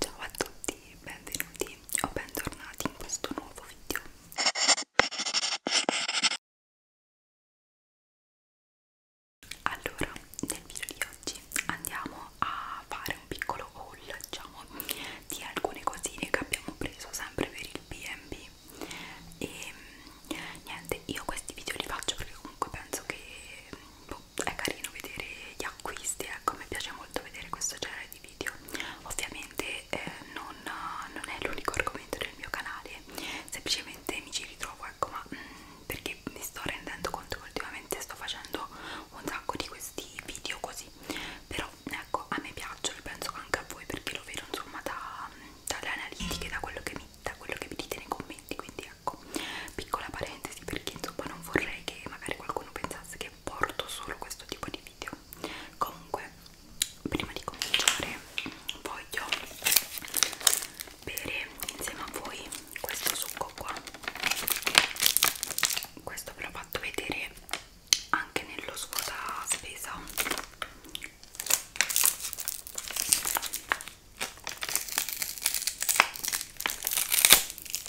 Ciao a tutti, benvenuti o bentornati in questo nuovo video. Allora, nel video di oggi andiamo a fare un piccolo haul, diciamo, di alcune cosine che abbiamo preso sempre per il B&B e ehm, niente, io questi video li faccio perché comunque penso che boh, so, è carino vedere gli acquisti, ecco, mi piace molto vedere questo genere di video. Ovviamente eh, non, non è l'unico argomento del mio canale, semplicemente mi ci ritrovo, ecco, ma mh, mm, perché mi sto rendendo conto che ultimamente sto facendo un sacco di questi video così. Però ecco, a me piacciono e penso anche a voi perché lo vedo insomma da, dalle analitiche, da quello che mi da quello che mi dite nei commenti quindi fianco ecco. piccola parentesi perché insomma non vorrei che magari qualcuno pensasse che porto solo questo tipo di video comunque prima di cominciare voglio bere insieme a voi questo succo qua questo ve l'ho fatto vedere anche nello svuota spesa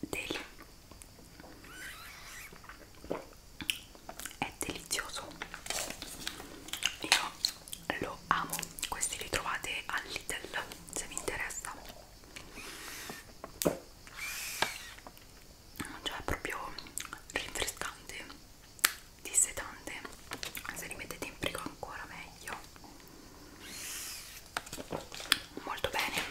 Del è delizioso io lo amo questi li trovate al Lidl se vi interessa cioè è proprio rinfrescante disse tante se li mettete in frigo ancora meglio molto bene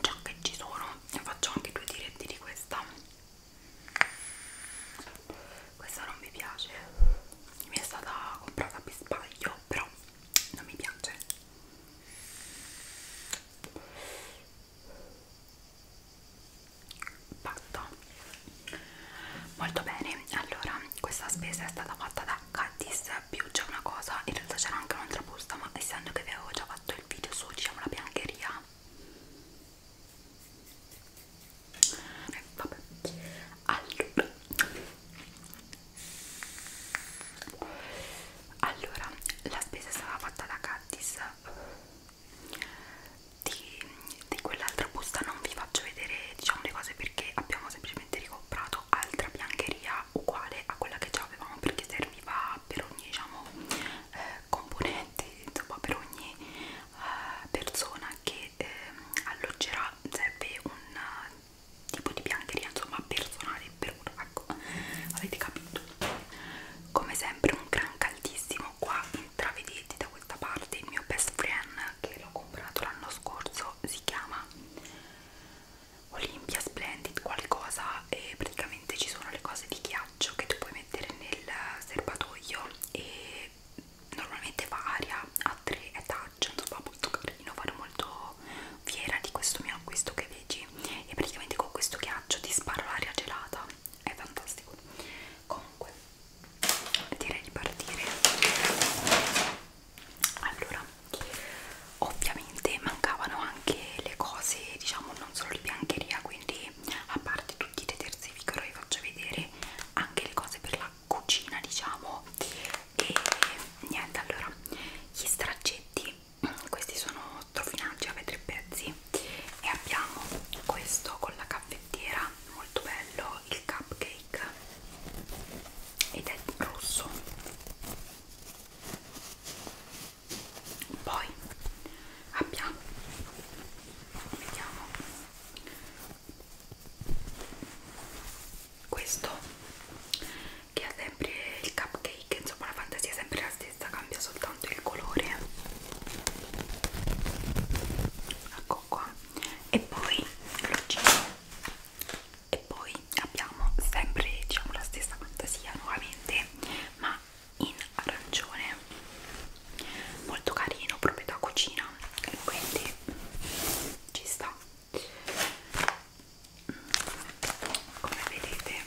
già che ci sono e faccio anche due diretti di questa questa non mi piace mi è stata comprata per sbaglio però non mi piace fatto molto bene allora questa spesa è stata fatta da Cadiz più c'è una cosa in realtà c'era anche un'altra busta ma essendo che vi avevo già fatto il video su diciamo la biancheria eh, vabbè allora allora la spesa è stata fatta da Cadiz di, di quell'altra busta non vi faccio vedere diciamo le cose perché abbiamo semplicemente ricomprato altra biancheria uguale a quella che già avevamo perché serviva per ogni diciamo eh, componente insomma per ogni eh, persona che eh, alloggerà serve un eh, tipo di biancheria insomma personale per uno ecco avete capito come sempre un gran caldissimo qua intravedete da questa parte il mio best friend che l'ho comprato l'anno scorso si chiama Olimpia Splendid qualcosa e praticamente ci sono le cose di ghiaccio che tu puoi mettere nel serbatoio e normalmente fa aria a tre etage insomma molto carino fare molto fiera di questo mio acquisto che vi leggi e praticamente con questo ghiaccio ti sparo l'aria gelata è fantastico comunque direi di partire allora ovviamente mancavano anche le cose diciamo non solo di biancheria quindi a parte tutti i detersivi che ora vi faccio vedere anche le cose per la cucina diciamo e niente allora gli straccetti questi sono trofinaggi, aveva tre pezzi e abbiamo questo con la caffettiera, molto bello, il cupcake ed è rosso poi abbiamo vediamo questo che ha sempre il cupcake insomma la fantasia è sempre la stessa cambia soltanto soltanto il colore ecco qua e poi lo giro e poi abbiamo sempre diciamo la stessa fantasia nuovamente ma in arancione molto carino proprio da cucina e quindi ci sta mm, come vedete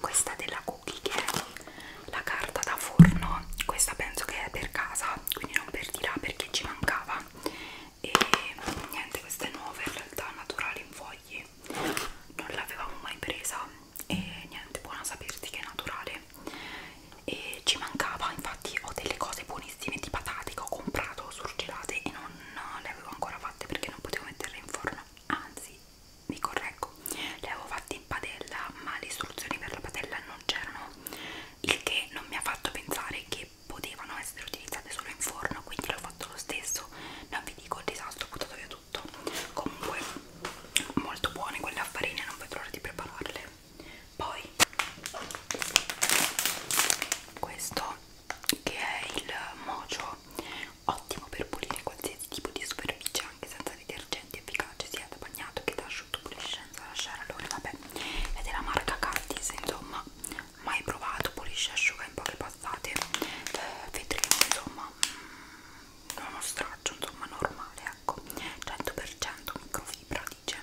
questa della cookie che è la carta da forno questa penso che è per casa quindi non per di là perché ci mancava e niente questa è nuova in realtà naturale in fogli non l'avevamo mai presa e niente buona saperti che è naturale e ci mancava infatti ho delle cose buonissime di patate che ho comprato surgelate e non non le avevo ancora fatte perché non potevo metterle in forno anzi mi correggo le avevo fatte in padella ma le istruzioni per la padella non c'erano il che non mi ha fatto pensare che potevano essere utilizzate solo in forno quindi l'ho fatto lo stesso non vi dico il disastro ho buttato via tutto comunque molto buone quelle a farina non vedo l'ora di prepararle poi questo che è il mojo ottimo per pulire qualsiasi tipo di superficie anche senza detergenti efficace sia da bagnato che da asciutto pulisce senza lasciare allora vabbè è della marca Cardis insomma mai provato pulisce asciuga in poche passate eh, vedremo insomma mm, uno straccio insomma normale ecco 100% microfibra dice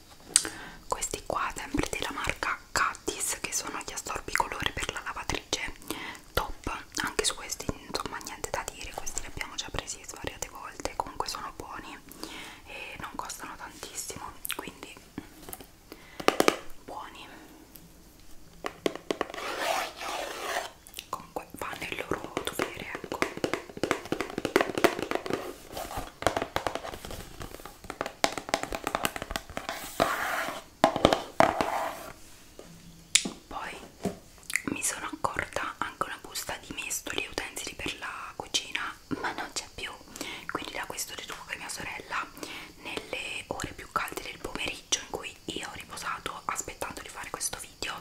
questi qua sempre della marca Catis che sono gli assorbicolore per la lavatrice top anche su questi insomma niente da dire questi li abbiamo già presi svariate volte comunque sono buoni e non costano tantissimo quindi buoni comunque fanno il loro dovere ecco poi mi sono accorta anche una busta di mestoli e utensili per la cucina, ma non c'è più. Quindi da questo deduco che mia sorella nelle ore più calde del pomeriggio in cui io ho riposato aspettando di fare questo video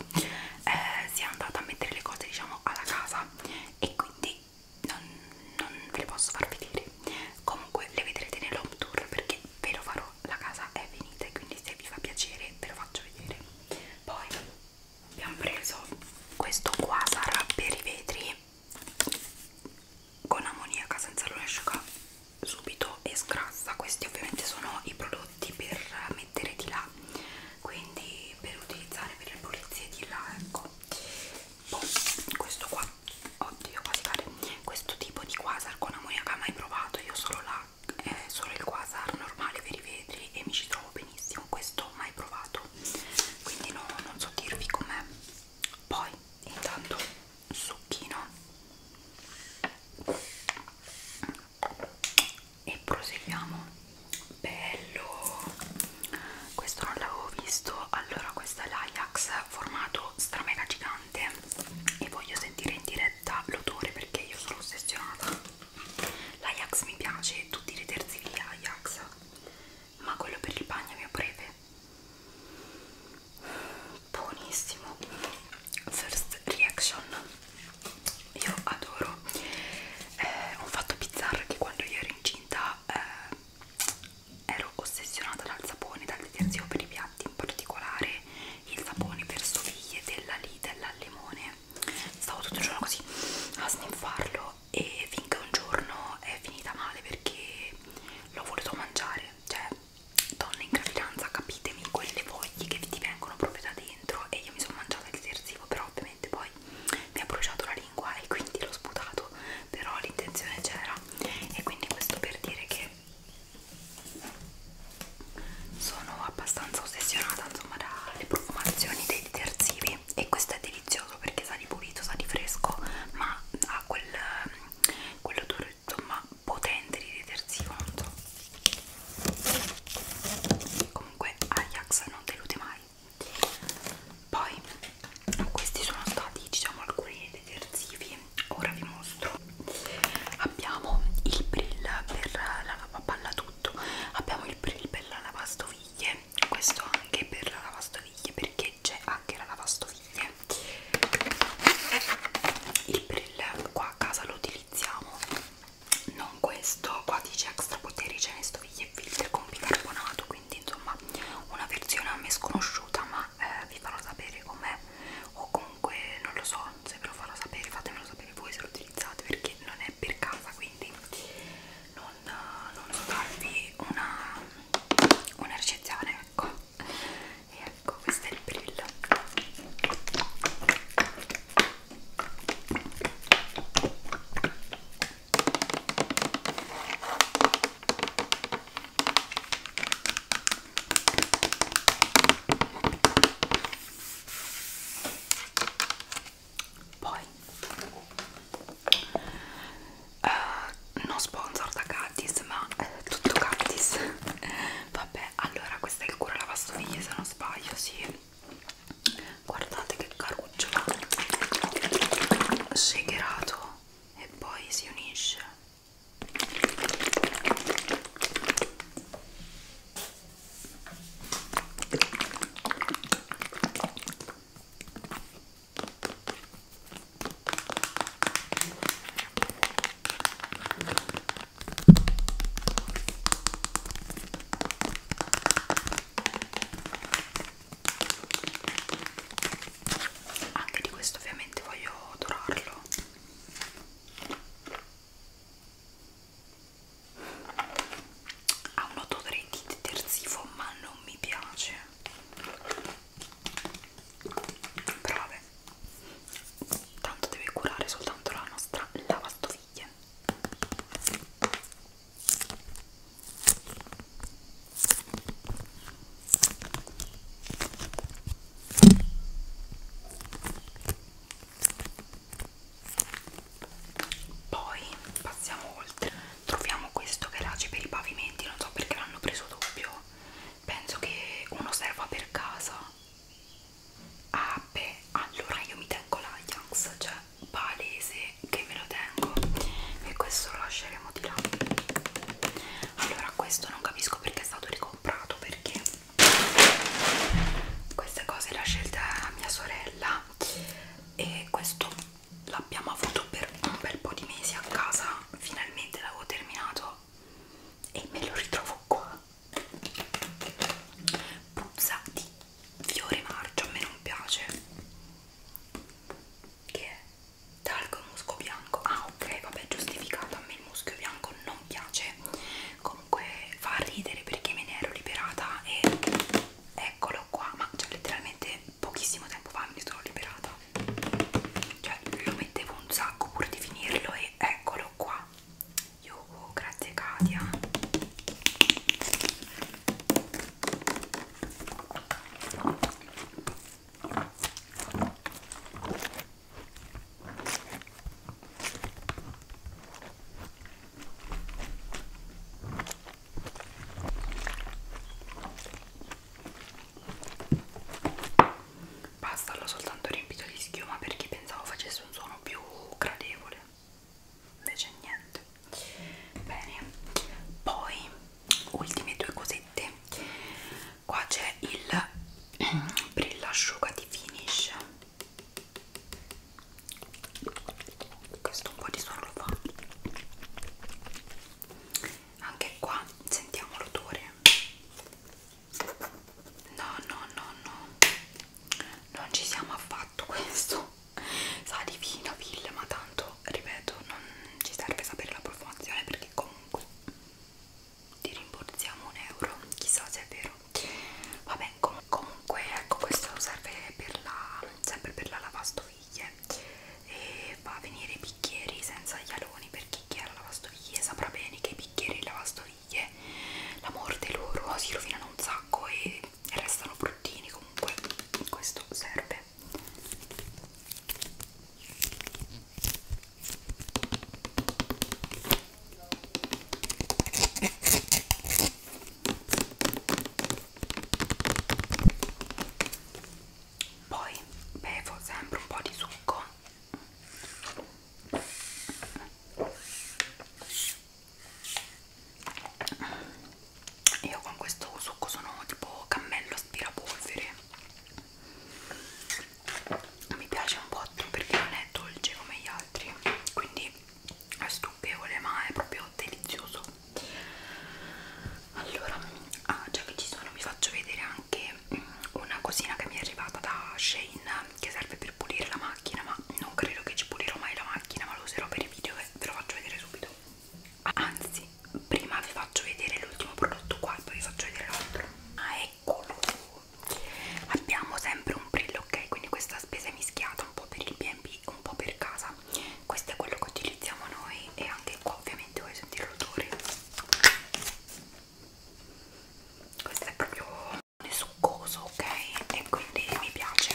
eh, si è andata a mettere le cose diciamo alla casa e quindi non, non ve le posso far vedere comunque le vedrete nell'home tour perché ve lo farò la casa è finita e quindi se vi fa piacere ve lo faccio vedere poi abbiamo preso questo qua sarà per i vetri con ammoniaca senza lo asciuga subito e scrassa questi ovviamente sono i prodotti per mettere di là quindi per utilizzare per le pulizie di là ecco boh, questo qua oddio quasi cade questo tipo di quasar con ammoniaca mai provato io solo la eh, solo il quasar normale per i vetri e mi ci trovo benissimo questo mai provato quindi no, non so dirvi com'è poi intanto succhino e proseguiamo bello questo non l'avevo visto allora questa è l'Ajax formato stramega gigante e voglio sentire in diretta l'odore perché io sono ossessionata l'Ajax mi piace tutti i detersivi Ajax ma quello per il bagno mi breve buonissimo first reaction io adoro eh, ho fatto bizzarra che quando io ero incinta eh, ero ossessionata dal sapone, dal detersivo per i piatti, in particolare il sapone per stoviglie della Lidl al limone. Stavo tutto il giorno così a sniffarlo e finché un giorno è finita male perché l'ho voluto mangiare. Cioè, donne in gravidanza, capitemi, quelle foglie che ti vengono proprio da dentro e io mi sono mangiata il detersivo, però ovviamente ovviamente poi mi ha bruciato la lingua e quindi l'ho sputato però l'intenzione c'era e quindi questo per dire che sono abbastanza ossessionata insomma dalle profumazioni dei detersivi e questo è delizioso perché sa di pulito, sa di fresco ma ha quel, quell'odore insomma potente di detersivo non so comunque Ajax non delude mai poi questi sono stati diciamo alcuni detersivi ora vi mostro abbiamo il brill per la lavapalla tutto abbiamo il brill per la lavastoviglie questo anche per la lavastoviglie perché c'è anche la lavastoviglie il brill qua a casa lo utilizziamo non questo qua dice extra poteri ce ne stoviglie e filtri con bicarbonato quindi quindi insomma una versione a me sconosciuta ma eh, vi farò sapere com'è o comunque non lo so se ve lo farò sapere fatemelo sapere voi se lo utilizzate perché non è per casa quindi non, non so darvi una, una recensione ecco e ecco questo è il brillo poi uh, non sponsor da Cactis, ma eh, tutto Cactis. Vabbè, allora questo è il cura lavastoviglie se non sbaglio, sì guardate che caruccio shakerato e poi si unisce anche di questo ovviamente voglio dorarlo ha un odore terzivo ma non mi piace però vabbè tanto deve curare soltanto la nostra lavastoviglie poi passiamo oltre, troviamo questo verace per i pavimenti, non so perché l'hanno preso doppio, penso che uno serva per casa. Ah beh, allora io mi tengo l'Ajax, cioè palese che me lo tengo e questo lo lasceremo di là allora questo non capisco perché è stato ricomprato perché queste cose la scelta è mia sorella e questo l'abbiamo avuto per un bel po' di mesi a casa finalmente l'avevo terminato e me lo ritrovo qua puzza di fiore marcio a me non piace che è talco musco bianco ah ok vabbè giustificato a me il muschio bianco non piace comunque fa ridere perché me ne ero liberata e eccolo qua ma cioè letteralmente pochissimo tempo fa me ne sono liberata cioè lo mettevo un sacco pur di finirlo e eccolo qua io Oh, grazie Katia. Basta l'ho soltanto riempito di schiuma perché pensavo facesse un suono più gradevole invece niente bene poi ultime due cosette qua c'è il brillasciugati finish questo un po' di suono lo fa anche qua sentiamo l'odore no no no no non ci siamo affatto questo sa di vino, ville ma tanto ripeto non ci serve sapere la profumazione perché comunque ti rimborsiamo un euro chissà se è vero vabbè com comunque ecco questo serve per la, sempre per la lavastoviglie e fa a venire i bicchieri senza gli aloni perché chi ha la lavastoviglie saprà bene che i bicchieri e lavastoviglie la morte loro si rovinano un sacco e e restano bruttini comunque questo serve poi bevo sempre un po' di succo io con questo succo sono tipo cammello aspirapolvere mi piace un botto perché non è dolce come gli altri quindi è stucchevole ma è proprio delizioso allora ah, già che ci sono vi faccio vedere anche mm, una cosina che mi è arrivata da Shane che serve per pulire la macchina ma non credo che ci pulirò mai la macchina ma lo userò per i video e ve lo faccio vedere subito anzi prima vi faccio vedere l'ultimo prodotto qua e poi vi faccio vedere l'altro ah eccolo abbiamo sempre un brillo ok quindi questa spesa è mischiata un po' per il B&B un po' per casa questo è quello che utilizziamo noi e anche qua ovviamente vuoi sentire l'odore questo è proprio succoso ok e quindi mi piace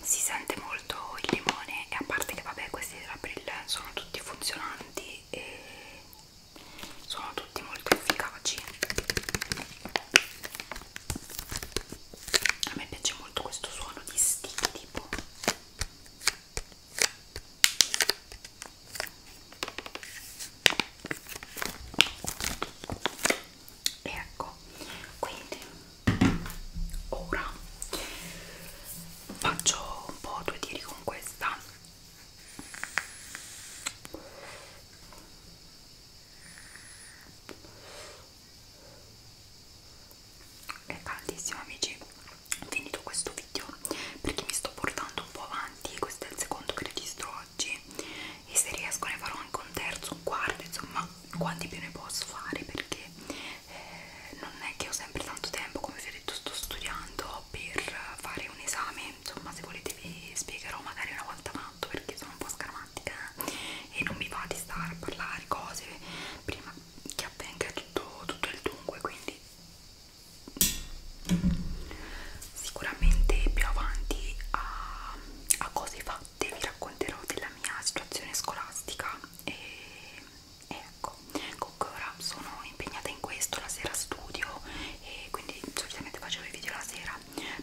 si sente molto il limone e a parte che vabbè questi della Brill sono tutti funzionanti e sono tutti molto efficaci a me piace molto questo suono di stick tipo ecco quindi ora faccio un po' due tiri con questa è caldissimo amici finito questo video perché mi sto portando un po' avanti questo è il secondo che registro oggi e se riesco ne farò anche un terzo, un quarto, insomma quanti più ne posso fare perché eh, non è che ho sempre tanto tempo, come vi ho detto sto studiando per fare un esame, insomma se volete vi spiegherò magari una volta tanto perché sono un po' scaramantica e non mi va di stare a parlare cose prima che avvenga tutto, tutto il dunque quindi sicuramente più avanti a, a cose fatte vi racconterò della mia situazione scolastica e, e ecco comunque ora sono impegnata in questo la sera studio e quindi solitamente facevo i video la sera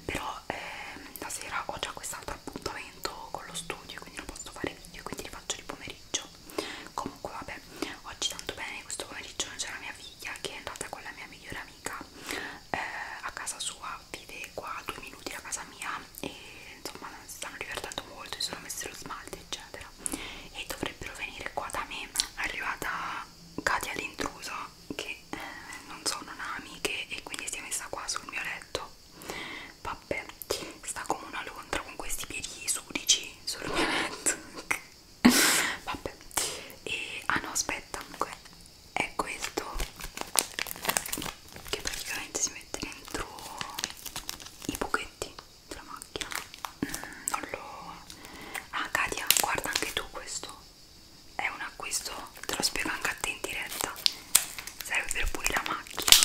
però ehm, la sera ho già quest'altro appuntamento con lo studio quindi non posso fare video quindi li faccio di pomeriggio comunque vabbè oggi tanto bene questo pomeriggio c'è la mia figlia che è andata con la mia migliore amica eh, a casa sua vive qua a due minuti da casa mia e insomma si stanno divertendo molto, si sono messi lo smalto eccetera e dovrebbero venire qua da me è arrivata Katia l'intrusa che eh, non so non ha amiche e quindi si è messa qua sul mio letto vabbè sta come una lontra con questi piedi sudici sul mio letto vabbè e ah no aspetta comunque è questo che praticamente si mette dentro i buchetti della macchina mm, non lo ah Katia guarda anche tu questo è un acquisto te lo spiego anche a te in diretta serve per pulire la macchina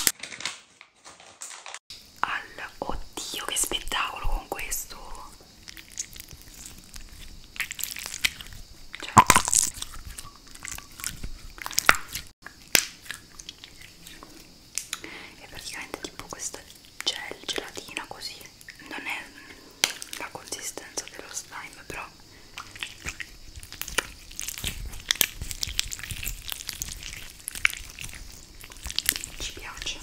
al oddio che spettacolo con questo cioè. è praticamente tipo questa gel gelatina così non è la consistenza dello slime però ci piace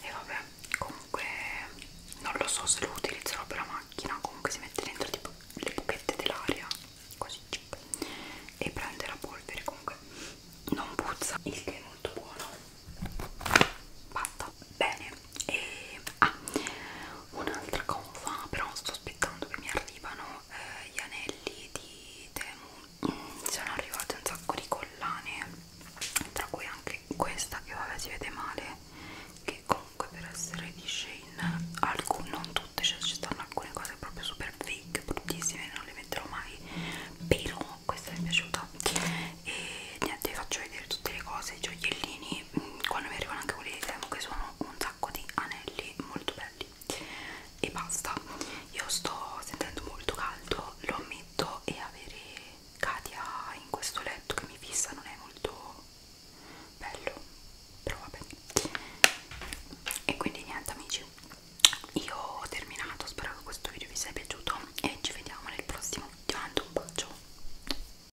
e vabbè comunque non lo so se lo utilizzerò per la macchina comunque si mette dentro tipo le buchette dell'aria così cioè, e prende la polvere comunque non puzza il che è molto buono fatta bene e ah, un'altra cosa però sto aspettando che mi arrivano eh, gli anelli di Temu mm, sono arrivate un sacco di collane tra cui anche questa che vabbè si vede male che comunque per essere di Shane alcune, non tutte, cioè ci stanno alcune cose proprio super fake, bruttissime non le metterò mai però questa mi è piaciuta e niente vi faccio vedere tutte le cose, i gioiellini quindi quando mi arrivano anche quelli di Temo che sono un sacco di anelli molto belli e basta io sto sentendo molto caldo lo ammetto e avere Katia in questo letto che mi fissa non è molto bello però vabbè e quindi niente amici io ho terminato spero che questo video vi sia piaciuto e ci vediamo nel prossimo video un bacio